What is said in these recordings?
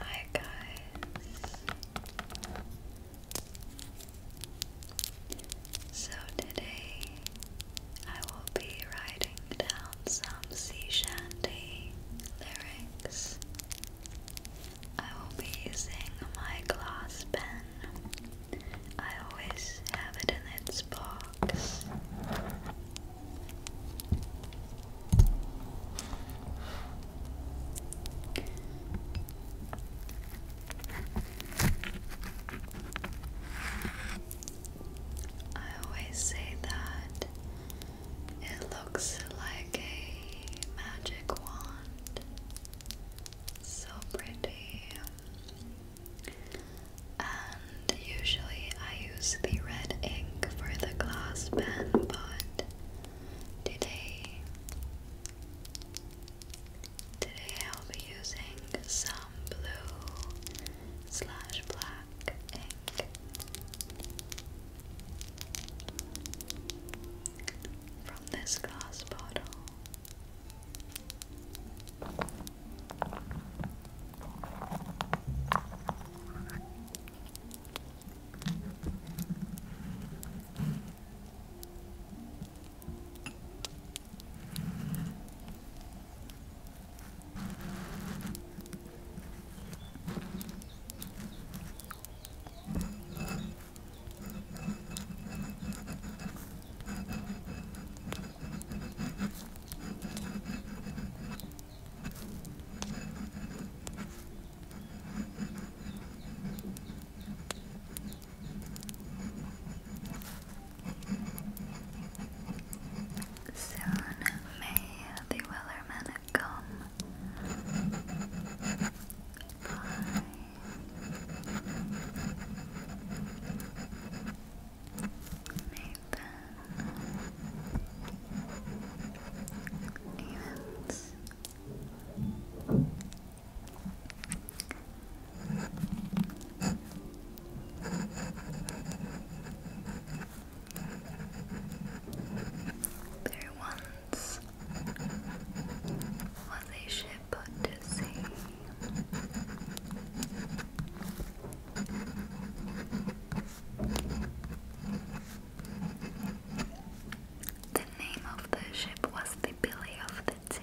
Hi guys. So today I will be writing down some sea shanty lyrics I will be using my glass pen. I always have it in its box. I always say that it looks like a magic wand. So pretty. And usually I use the red ink for the glass pen, but today today I'll be using some blue slash black ink from this glass bottle. Soon may the Wellerman gum. Bye. Nathan. Evans. There once what they ship put to sea. The name of the ship was the Billy of the Sea.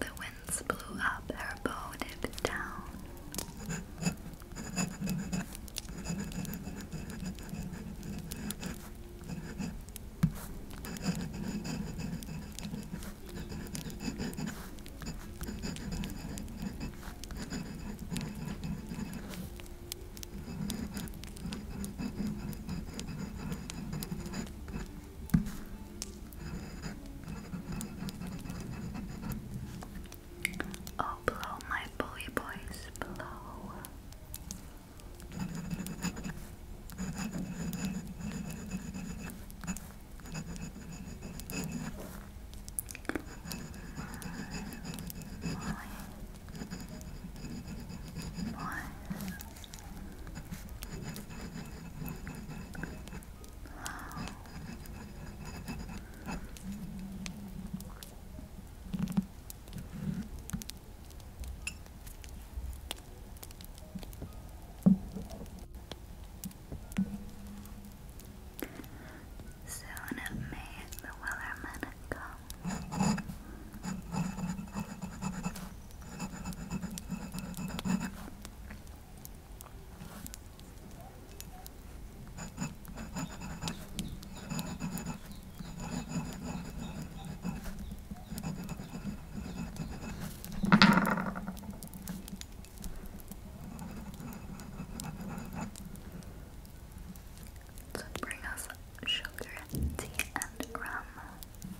The winds blew up, her bow dipped down. Oh, blow my boy boys, blow. Wow. Soon may the Wellerman come. Could bring us sugar, tea, and rum.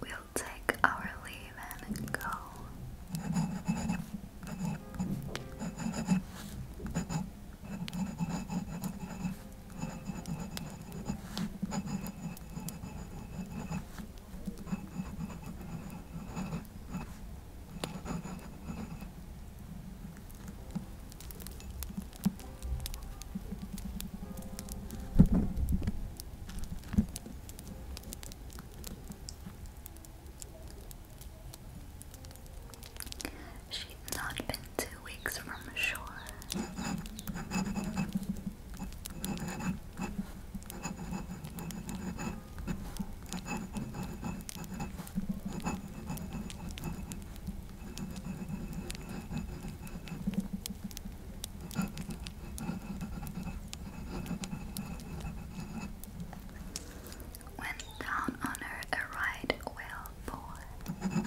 We'll take our leave and go. She's not been two weeks from shore. Went down on her a right whale boy.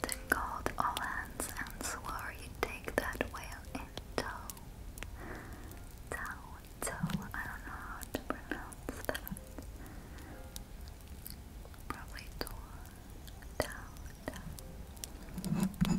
captain call all hands and swear you take that whale in tow. Tow, tow, I don't know how to pronounce that. Probably tow, tow, tow.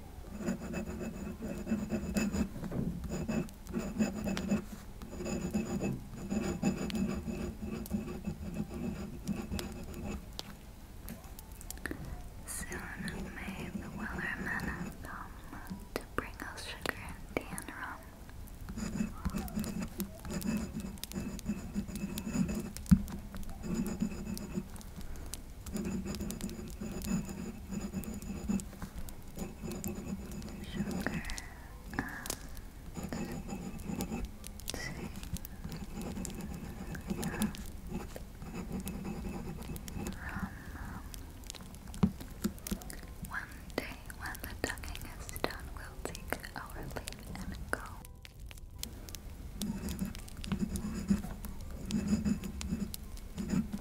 Soon may the weller come to bring us sugar and tea sugar and One day when the ducking is done, we'll take our leave and go.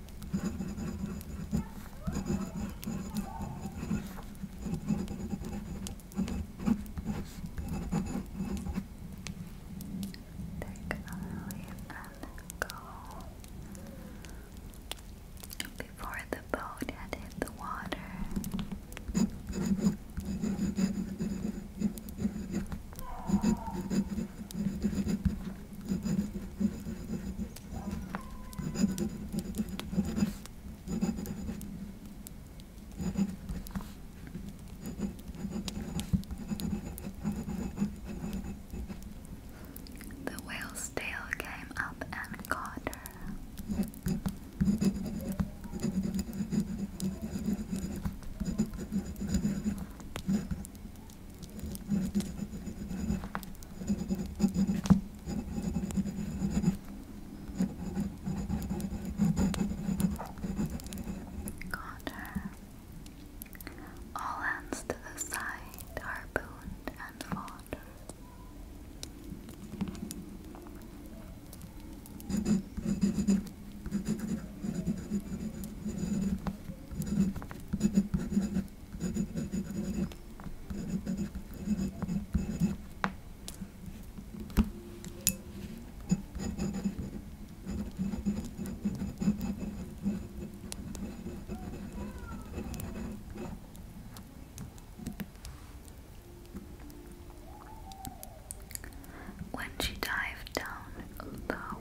Take a leave and go. Before the boat had hit the water. The whale's tail came up and caught her. Got All hands to the side, are harpooned and fought. When she dived down low,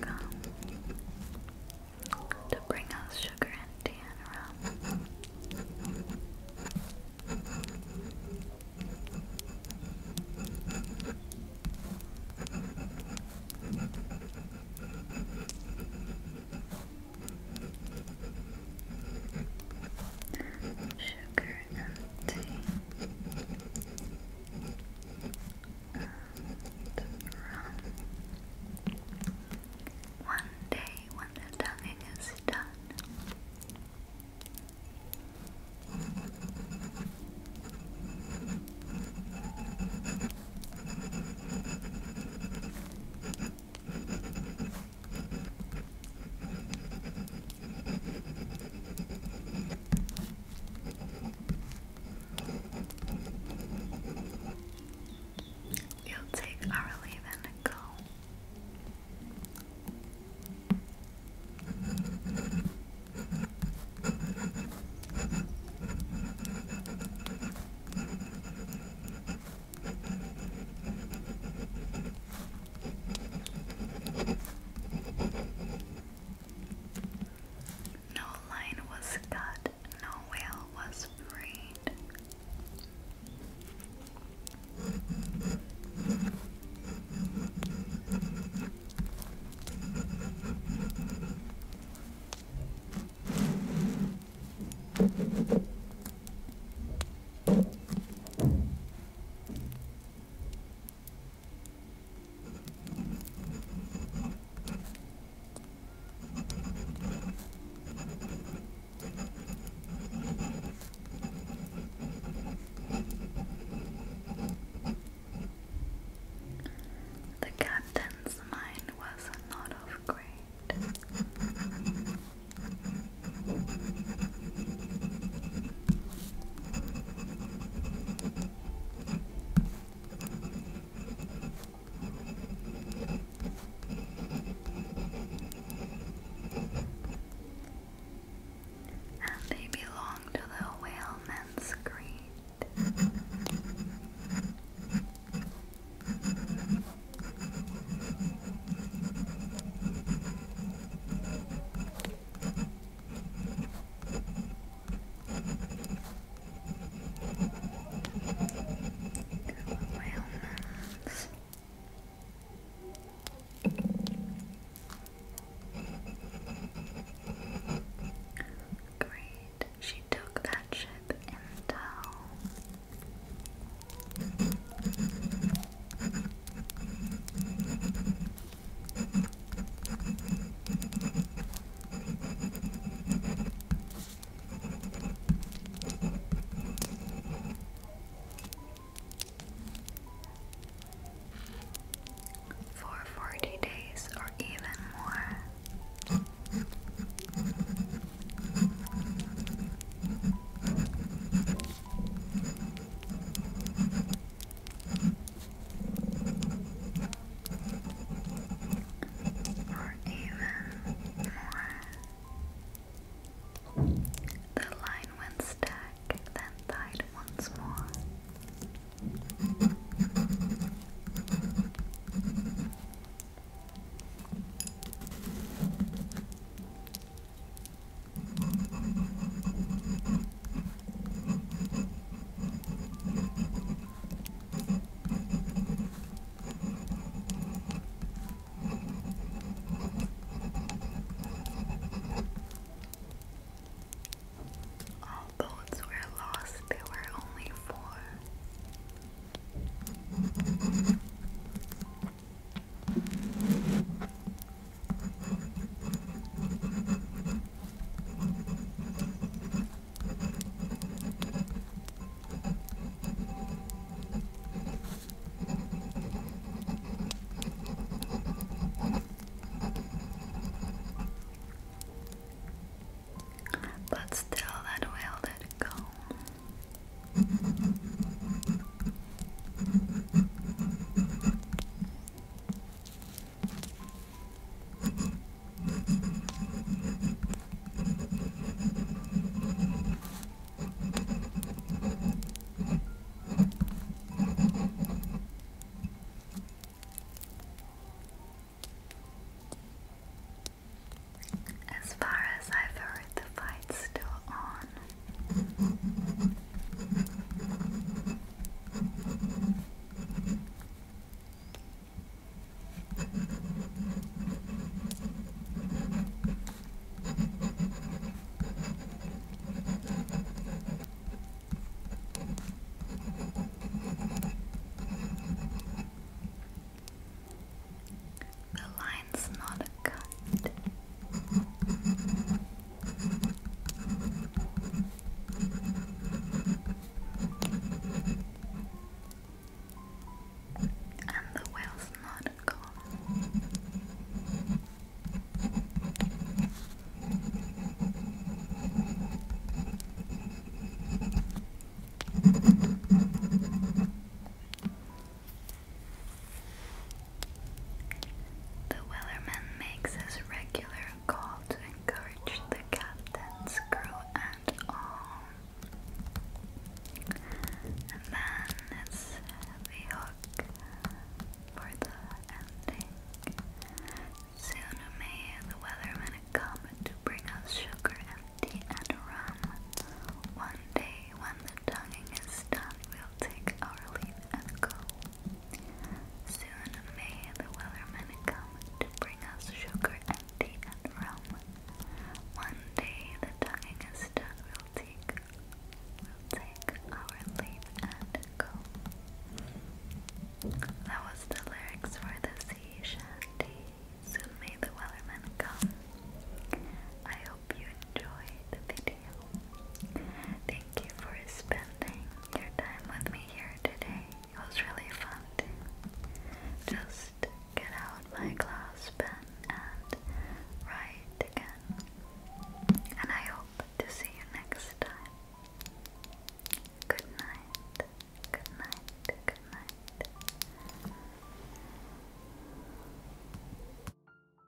gum to bring us sugar and tea and rum. Sugar and tea and run. One day when the tonguing is done. You'll take our leave and go. No line was cut, no whale was freed. The captain's mind was not of great. And they belong to the whaleman's creed. Great. She took that ship in tow. For 40 days or even more or even more. The line went stack, then died once more. All boats were lost, there were only four. But still, that will let go. As far as I've heard, the fight's still on. The line's not forgot. And the whale's not gone. The wellerman makes his regular call to encourage the captain's crew and all. And then it's the hook for the ending. Soon may the weatherman come to bring us sugar, empty, and rum. One day when the tonguing is done, we'll take our leave and go. Soon may the wellerman come to bring us sugar and tea and rum. One day the tonguing is done, we'll take, we'll take our leave and go. That was the lyrics for the sea shanty. Soon may the wellerman come. I hope you enjoyed the video. Thank you for spending your time with me here today. It was really fun just get out my glass pen and write again. And I hope to see you next time. Good night. Good night. Good night.